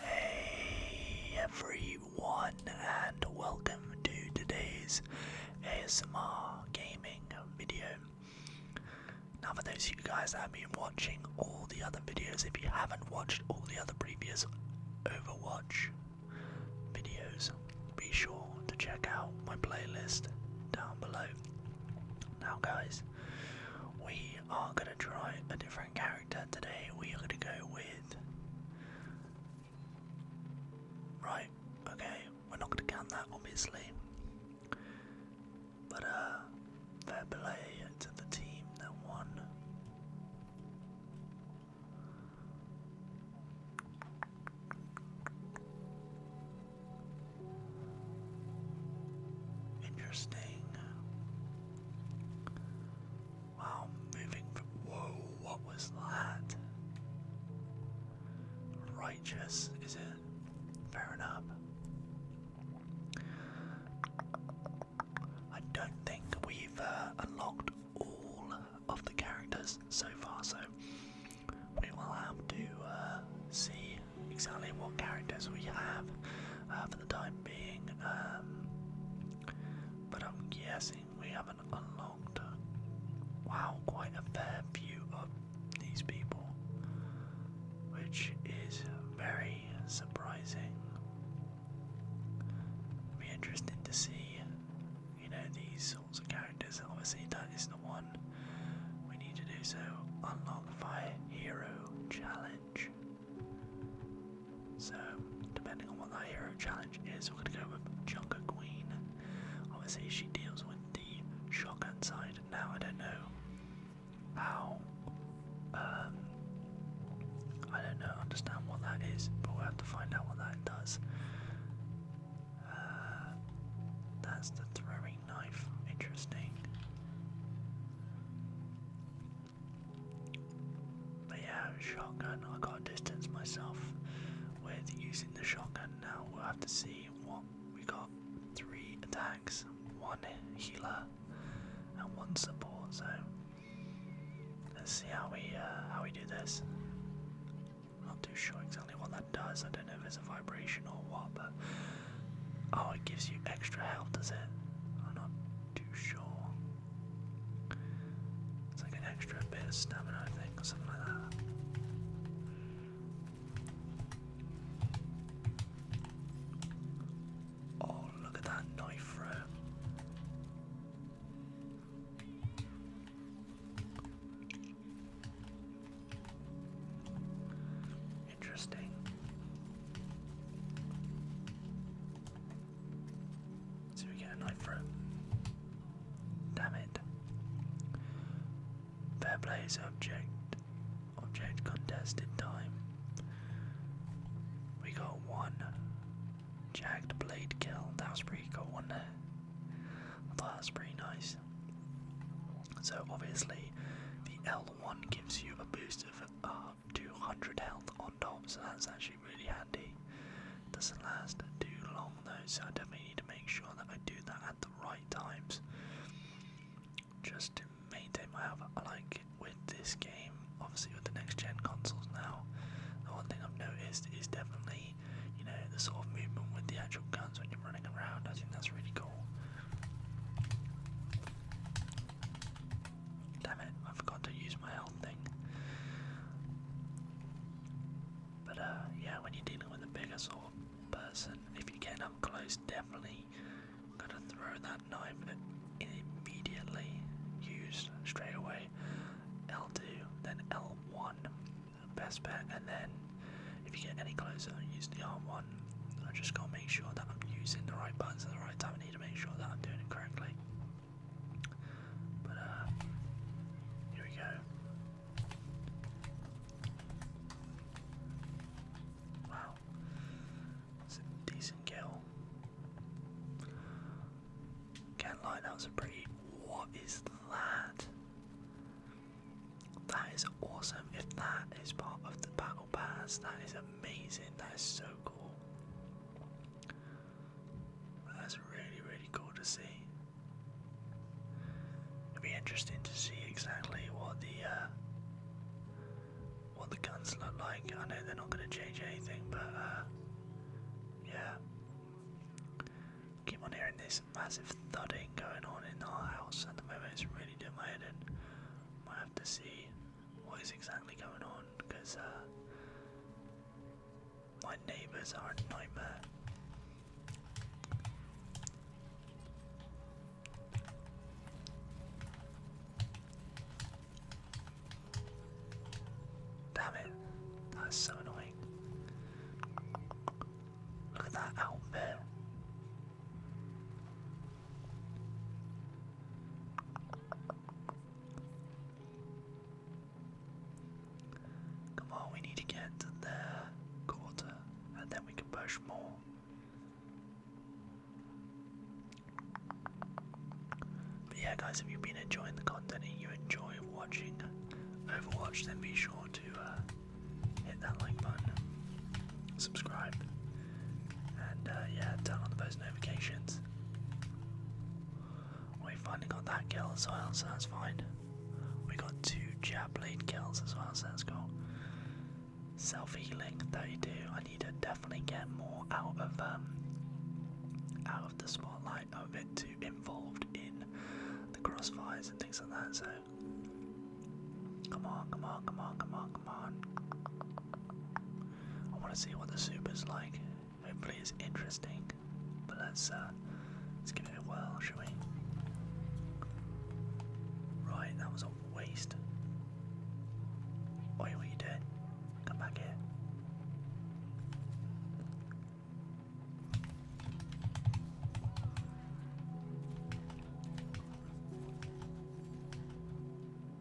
Hey everyone, and welcome to today's ASMR gaming video. Now for those of you guys that have been watching all the other videos, if you haven't watched all the other previous Overwatch videos, be sure to check out my playlist down below. Now guys, we are going to try a different character today. We are going to go with... Right, okay, we're not going to count that obviously. But uh, fair play to the team that won. Interesting. Wow, moving from. Whoa, what was that? Righteous, is it? Fair enough. I don't think we've uh, unlocked all of the characters so far, so we will have to uh, see exactly what characters we have uh, for the time being. Um, but I'm guessing we haven't unlocked, wow, quite a fair few of these people, which is very surprising. be interesting to see, you know, these sorts of characters. Obviously, that is the one we need to do. So, unlock Fire Hero Challenge. So, depending on what that hero challenge is, we're gonna go with Junker Queen. Obviously, she deals with the shotgun side. Now, I don't know how um, I don't know, understand what that is, but we have to find out what that does. Uh, that's the throwing knife. Interesting. But yeah, shotgun. I gotta distance myself with using the shotgun now. We'll have to see what we got three attacks, one healer, and one support. So let's see how we uh, how we do this. i not too sure exactly what that does. I don't know if it's a vibration or what, but oh, it gives you extra health, does it? I'm not too sure. It's like an extra bit of stamina, I think, or something like that. Oh, look at that knife throw. Interesting. So we get a knife throw. Damn it. Fair play is object. Object contested time. We got one jagged blade kill. That was pretty cool, was thought that was pretty nice. So obviously, the L1 gives you a boost of uh, 200 health on top, so that's actually really handy. Doesn't last too long though, so I definitely need to make sure that I do that at the right times just to maintain my health. I like with this game, obviously with the next gen consoles now, the one thing I've noticed is definitely, you know, the sort of movement with the actual guns when you're running around. I think that's really cool. Damn it, I forgot to use my health thing. But uh, yeah, when you're dealing with a bigger sort person. If you get up close, definitely going to throw that knife immediately. Use straight away. L2, then L1, best bet, and then if you get any closer, use the R1. I just gotta make sure that I'm using the right buttons at the right time. I need to make sure that I'm doing it correctly. But uh, here we go. Wow. It's a decent kill. Can't that was a pretty. What is that? That is awesome. If that is part of the battle pass, that is amazing. That is so cool. That's really, really cool to see. It'd be interesting to see exactly what the uh, what the guns look like. I know they're not going to change anything, but uh, yeah. Keep on hearing this massive thudding going on in our house at the moment. It's really doing my head in. Might have to see what is exactly going on because uh, my neighbours are a nightmare. Damn it, that's so annoying. Look at that outfit. Come on, we need to get to their quarter, and then we can push more. But yeah, guys, if you've been enjoying the content and you enjoy watching Overwatch, then be sure to uh, hit that like button, subscribe, and uh, yeah, turn on the notifications. We finally got that kill as well, so that's fine. We got two jab lane kills as well, so that's cool. Self healing do. I need to definitely get more out of um, out of the spotlight. of it a too involved in the crossfires and things like that, so come on, come on, come on, come on, come on. I wanna see what the is like. Hopefully it's interesting. But let's uh, let's give it a whirl, shall we? Right, that was a waste. Oi, what you doing? Come back here.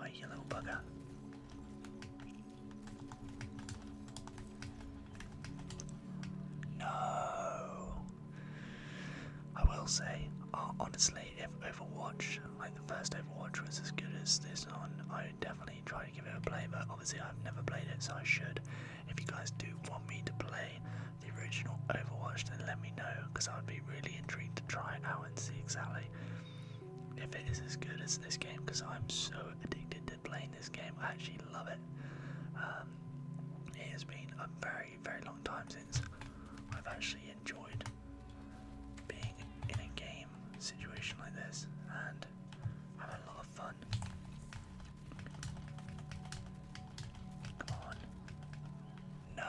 Oi, you little bugger. No. I will say, uh, honestly, if Overwatch, like the first Overwatch, was as good as this one, I would definitely try to give it a play. But obviously, I've never played it, so I should. If you guys do want me to play the original Overwatch, then let me know, because I would be really intrigued to try it out and see exactly if it is as good as this game, because I'm so addicted playing this game. I actually love it. Um, it has been a very, very long time since I've actually enjoyed being in a game situation like this and having a lot of fun. Come on. No!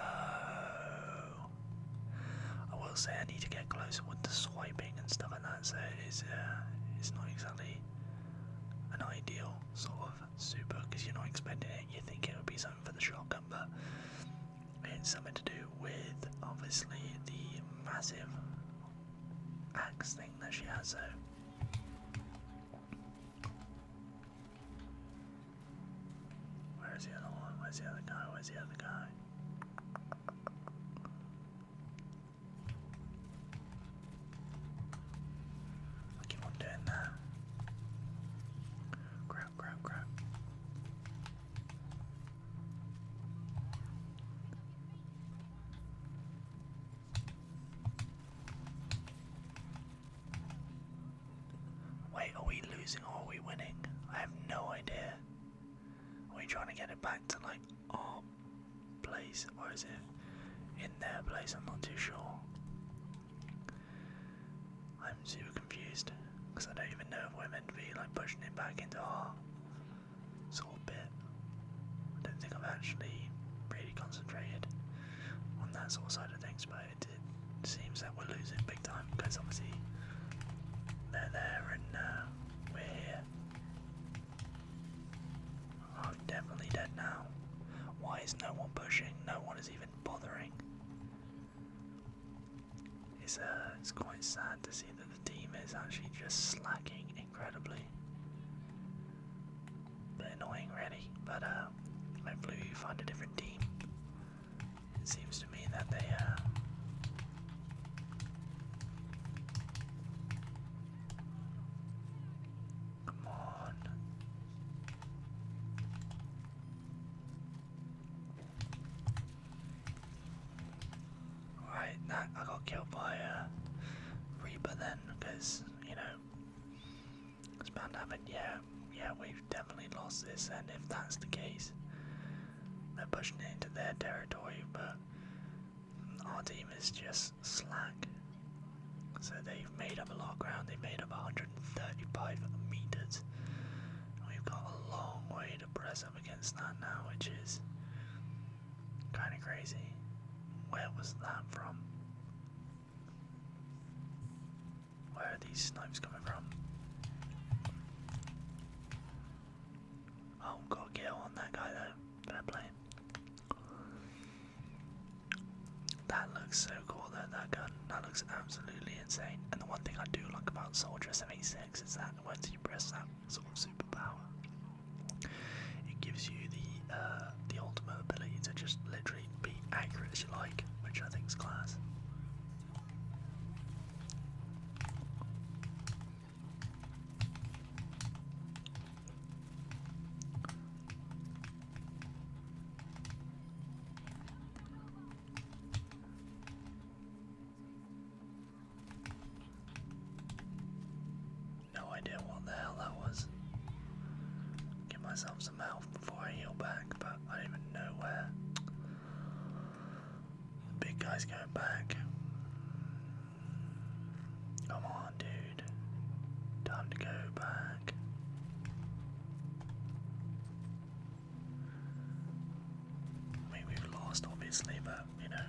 I will say I need to get closer with the swiping and stuff like that, so it is, uh, it's not exactly an ideal sort of super because you're not expecting it. You think it would be something for the shotgun, but it's something to do with obviously the massive axe thing that she has. So. Where is the other one? Where's the other guy? Where's the other guy? I keep doing that. Grab, grab, grab. Wait, are we losing or are we winning? I have no idea. Are we trying to get it back to like our place, or is it in their place? I'm not too sure. I'm super confused because I don't even know if we're meant to be like pushing it back into our sort of bit. I don't think I've actually really concentrated on that sort of side of things, but it, it seems that we're losing big time because obviously they're there and uh, we're here. Oh, definitely dead now. Why is no one pushing? No one is even bothering. It's uh, it's quite sad to see that the team is actually just slacking incredibly. Bit annoying, really. But uh, hopefully you find a different team. It seems to me that they uh, Come on. Right, I got killed by a uh, Reaper then, because you know it's bound to happen. Yeah, yeah, we've definitely lost this, and if that's the case, they're pushing it into their territory, but our team is just slack. So they've made up a lot of ground. They have made up 135 meters. we've got a long way to press up against that now, which is kind of crazy. Where was that from? Where are these snipes coming from? Oh, got kill on that guy though. That looks so cool though, that gun. That looks absolutely insane. And the one thing I do like about Soldier 76 is that once you press that sort of superpower, it gives you the uh, the ultimate ability to just literally be accurate as you like, which I think is class. No idea what the hell that was. Give myself some health before I heal back, but I don't even know where. big guy's going back. Come on, dude. Time to go back. I mean, we've lost, obviously, but you know.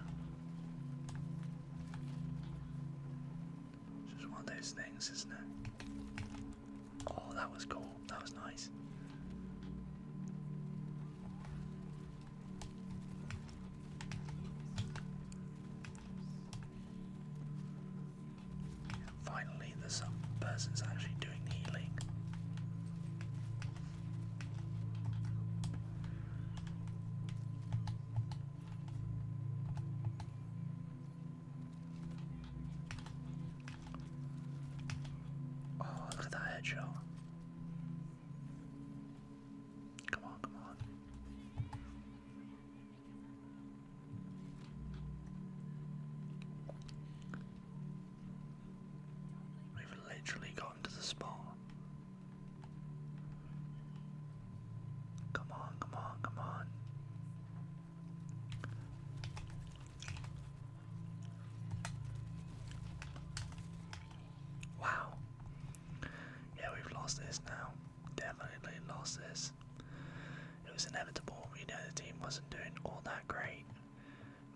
just one of those things, isn't it? Oh, that was cool. That was nice finally, there's some person's actually doing the healing. Oh, look at that headshot. Come on, come on. We've literally gotten to the spawn. Come on, come on, come on. Wow. Yeah, we've lost this now. Definitely lost this. It was inevitable. We know the team wasn't doing all that great.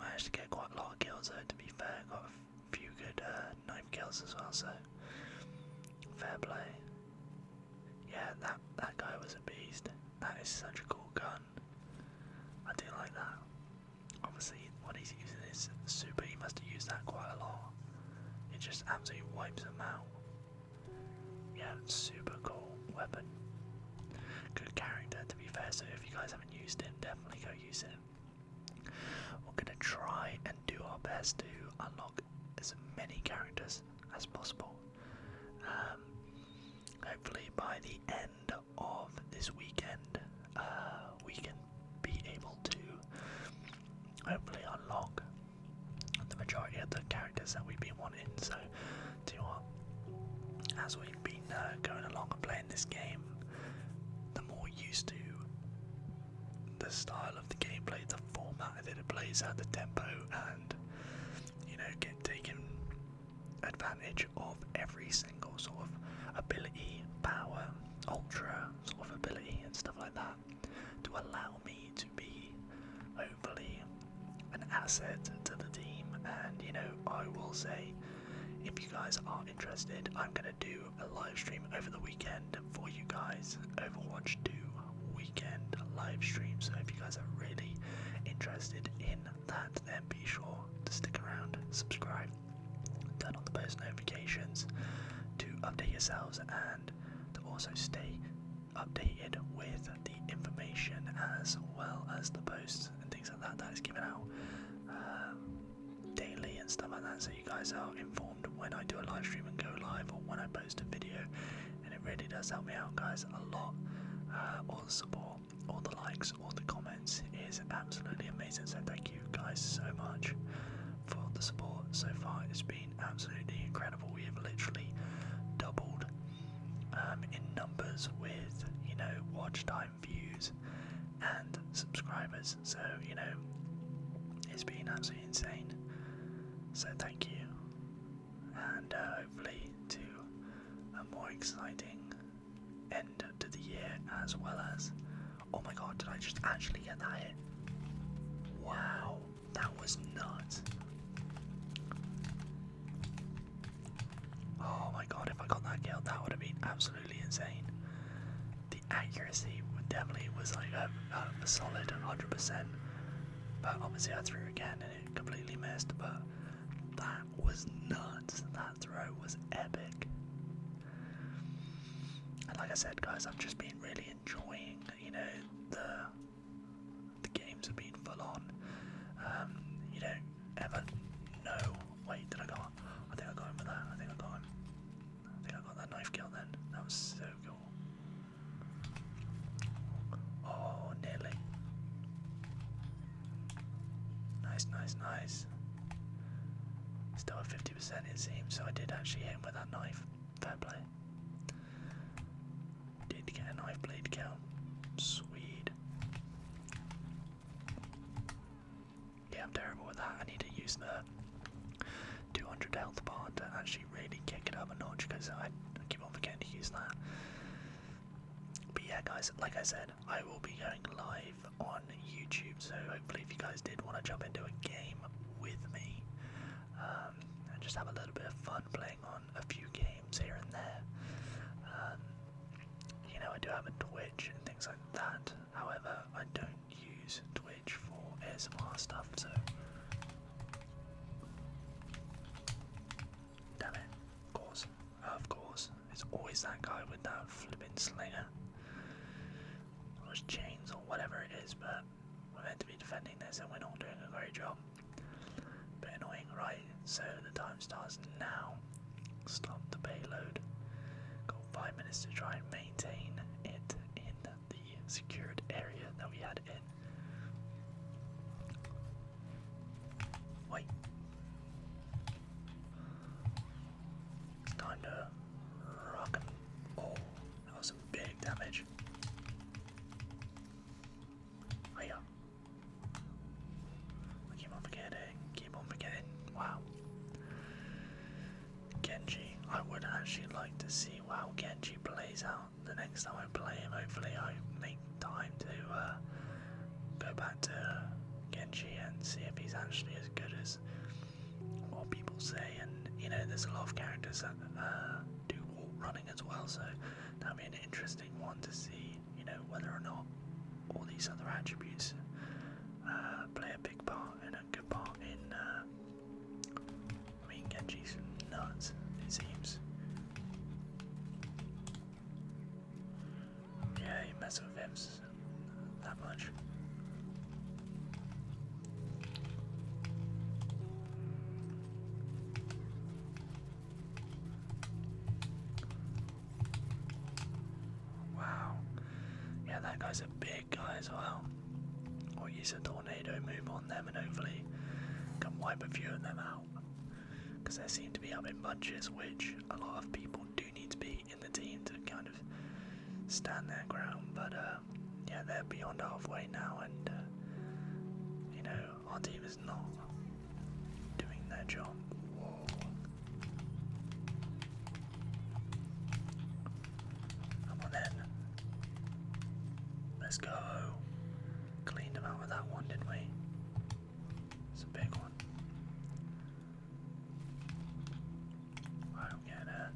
Managed to get quite a lot of kills though, to be fair. Got a few good uh, knife kills as well, so fair play. Yeah, that, that guy was a beast. That is such a cool gun. I do like that. Obviously, what he's using is super, he must have used that quite a lot. It just absolutely wipes him out. Yeah, super cool weapon. Good character, to be fair. So if you guys haven't used him, definitely go use him. We're gonna try and do our best to unlock as many characters as possible. Um, hopefully by the end of this weekend, uh, we can be able to hopefully unlock the majority of the characters that we've been wanting. So, you what? As we've been uh, going along and playing this game, the more used to the style of the gameplay, the format that it plays at, the tempo, and you know, get taken advantage of every single sort of ability, power, ultra sort of ability, and stuff like that to allow me to be hopefully an asset to the team. And you know, I will say if you guys are interested, I'm gonna do a live stream over the weekend for you guys, Overwatch do weekend live stream. So if you guys are really interested in that, then be sure to stick around, subscribe. Turn on the post notifications to update yourselves and to also stay updated with the information as well as the posts and things like that that is given out um, daily and stuff like that so you guys are informed when I do a live stream and go live or when I post a video and it really does help me out guys a lot uh, all the support all the likes, all the comments. is absolutely amazing. So thank you guys so much for the support so far. It's been absolutely incredible. We have literally doubled um, in numbers with you know watch time, views, and subscribers. So you know it's been absolutely insane. So thank you, and uh, hopefully to a more exciting end of the year as well as. Oh my god, did I just actually get that hit? Wow, that was nuts. Oh my god, if I got that kill, that would have been absolutely insane. The accuracy definitely was like um, um, a, a solid 100%, but obviously I threw again and it completely missed. But that was nuts. That throw was epic. And like I said, guys, I've just been really enjoying, you know, the the games have been full on. Um, you don't ever know. Wait, did I got? I think I got him with that. I think I got him. I think I got that knife kill then. That was so cool. Oh, nearly. Nice, nice, nice. Still at 50% it seems, so I did actually hit him with that knife. Fair play. Did get a knife blade kill. Sweet. Yeah, I'm terrible with that. I need to use the 200 health bar to actually really kick it up a notch because I keep on forgetting to use that. But yeah, guys, like I said, I will be going live on YouTube, so hopefully, if you guys did want to jump into a game with me um, and just have a little bit of fun playing on a few games here and there, um, you know, I do have a Twitch and things like that. However, I don't use Twitch for ASMR stuff, so. Damn it. Of course. Of course. It's always that guy with that flipping slinger. Or his or whatever it is, but we're meant to be defending this and we're not doing a great job. But annoying, right? So the time starts now. Stop the payload. Got five minutes to try and maintain it in the secured area that we had in. Wait. It's time to rock him. Oh, that was some big damage. Oh yeah. keep on forgetting, keep on forgetting. Wow. Genji. I would actually like to see how Genji plays out the next time I play him. Hopefully I may time to uh, go back to Genji and see if he's actually as good as what people say. And you know, there's a lot of characters that uh, do wall running as well, so that will be an interesting one to see. You know, whether or not all these other attributes uh, play a big part and a good part in. Uh, Genji's nuts. It seems. Yeah, you mess with Vips that much. Wow. Yeah, that guy's a big guy as well. Or use a tornado move on them and hopefully can wipe a few of them out because they seem to be up in bunches, which a lot of people do need to be in the team to kind of stand their ground. But uh, yeah, they're beyond halfway now, and uh, you know our team is not doing their job. Come on then. Let's go. Cleaned them out with that one, didn't we? It's a big one. I'm gonna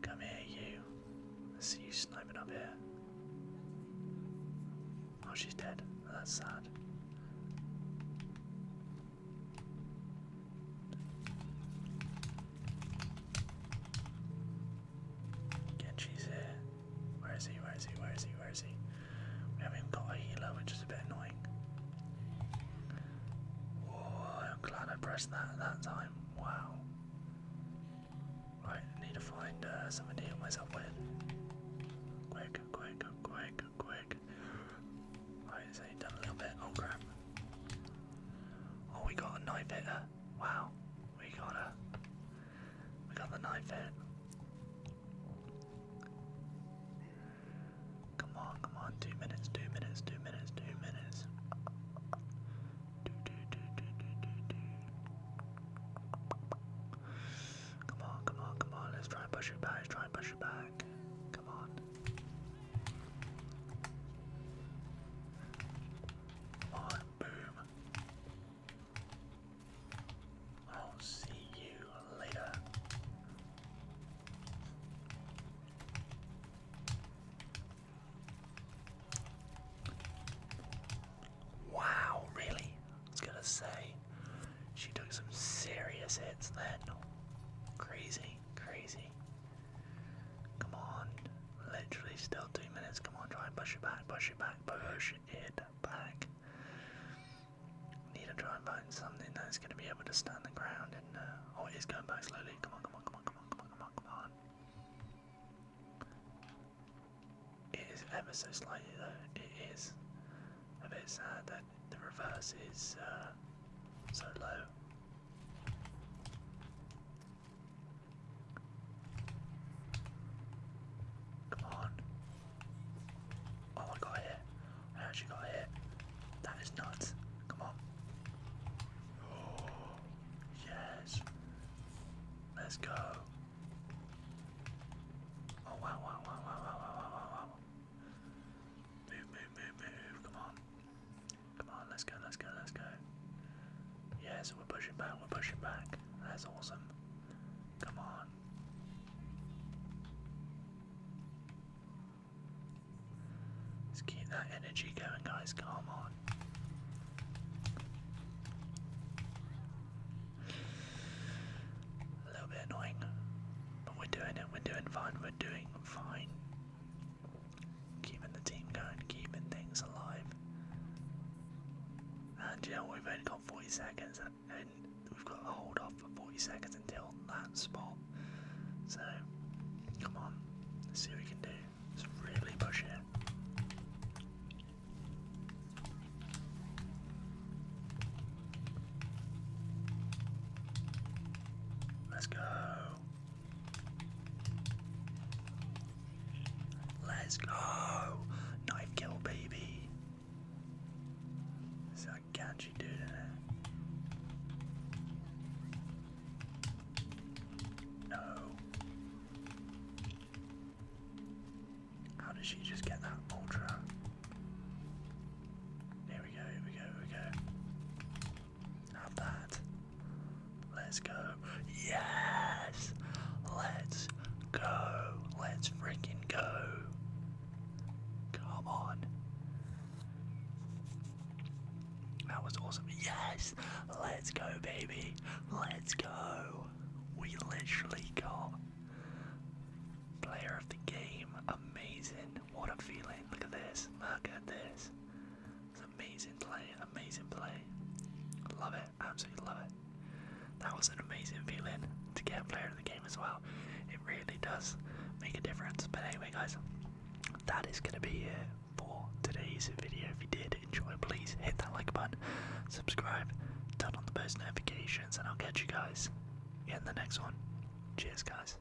come here, you. I see you sniping up here. Oh, she's dead. That's sad. Genji's here. Where is he? Where is he? Where is he? Where is he? We haven't even got a healer, which is a bit annoying. Oh, I'm glad I pressed that at that time. Wow. Right, need to find uh, something to heal Quick, quick, quick, quick. Right, so you've done a little bit. Oh crap. Oh, we got a knife hitter. Wow, we got a we got the knife in. Come on, come on, two minutes, two minutes, two minutes, two minutes. Do, do, do, do, do, do, do. Come on, come on, come on, let's try and push it back, try and push it back. Come on. Alright, boom. I'll see you later. Wow, really? I was gonna say, she took some serious hits then. Crazy, crazy. Come on. Literally still two minutes. Come on, try and push it back, push it back, push it back. Need to try and find something that's going to be able to stand the ground. And uh, oh, it is going back slowly. Come on, come on, come on, come on, come on, come on, come on. It is ever so slightly though. It is a bit sad that the reverse is uh, so low. Come on. Oh, I got hit. I actually got hit. That is nuts. Come on. yes. Let's go. Oh, wow. Move, move, move, move. Come on. Come on, let's go, let's go, let's go. Yeah, so we're pushing back, we're pushing back. That's awesome. Come on. Let's keep that energy going, guys. Come on. A little bit annoying, but we're doing it. We're doing fine. We're doing fine. Keeping the team going, keeping things alive. And yeah, we've only got 40 seconds and we've got to hold off for 40 seconds until that spot. So, come on, let's see what we can do. Let's really push it. Let's go. Let's go! Knife kill, baby! It's that Ganji dude in it. No. How did she just get that ultra? Here we go, here we go, here we go. Not bad. Let's go. Yes! Let's go. Let's freaking go. Come on. That was awesome. Yes! Let's go, baby. Let's go. We literally got player of the game. Amazing. What a feeling. Look at this. Look at this amazing play, amazing play. Love it, absolutely love it. That was an amazing feeling to get a player in the game as well. It really does make a difference. But anyway, guys, that is going to be it for today's video. If you did enjoy, please hit that like button, subscribe, turn on the post notifications, and I'll catch you guys in the next one. Cheers, guys.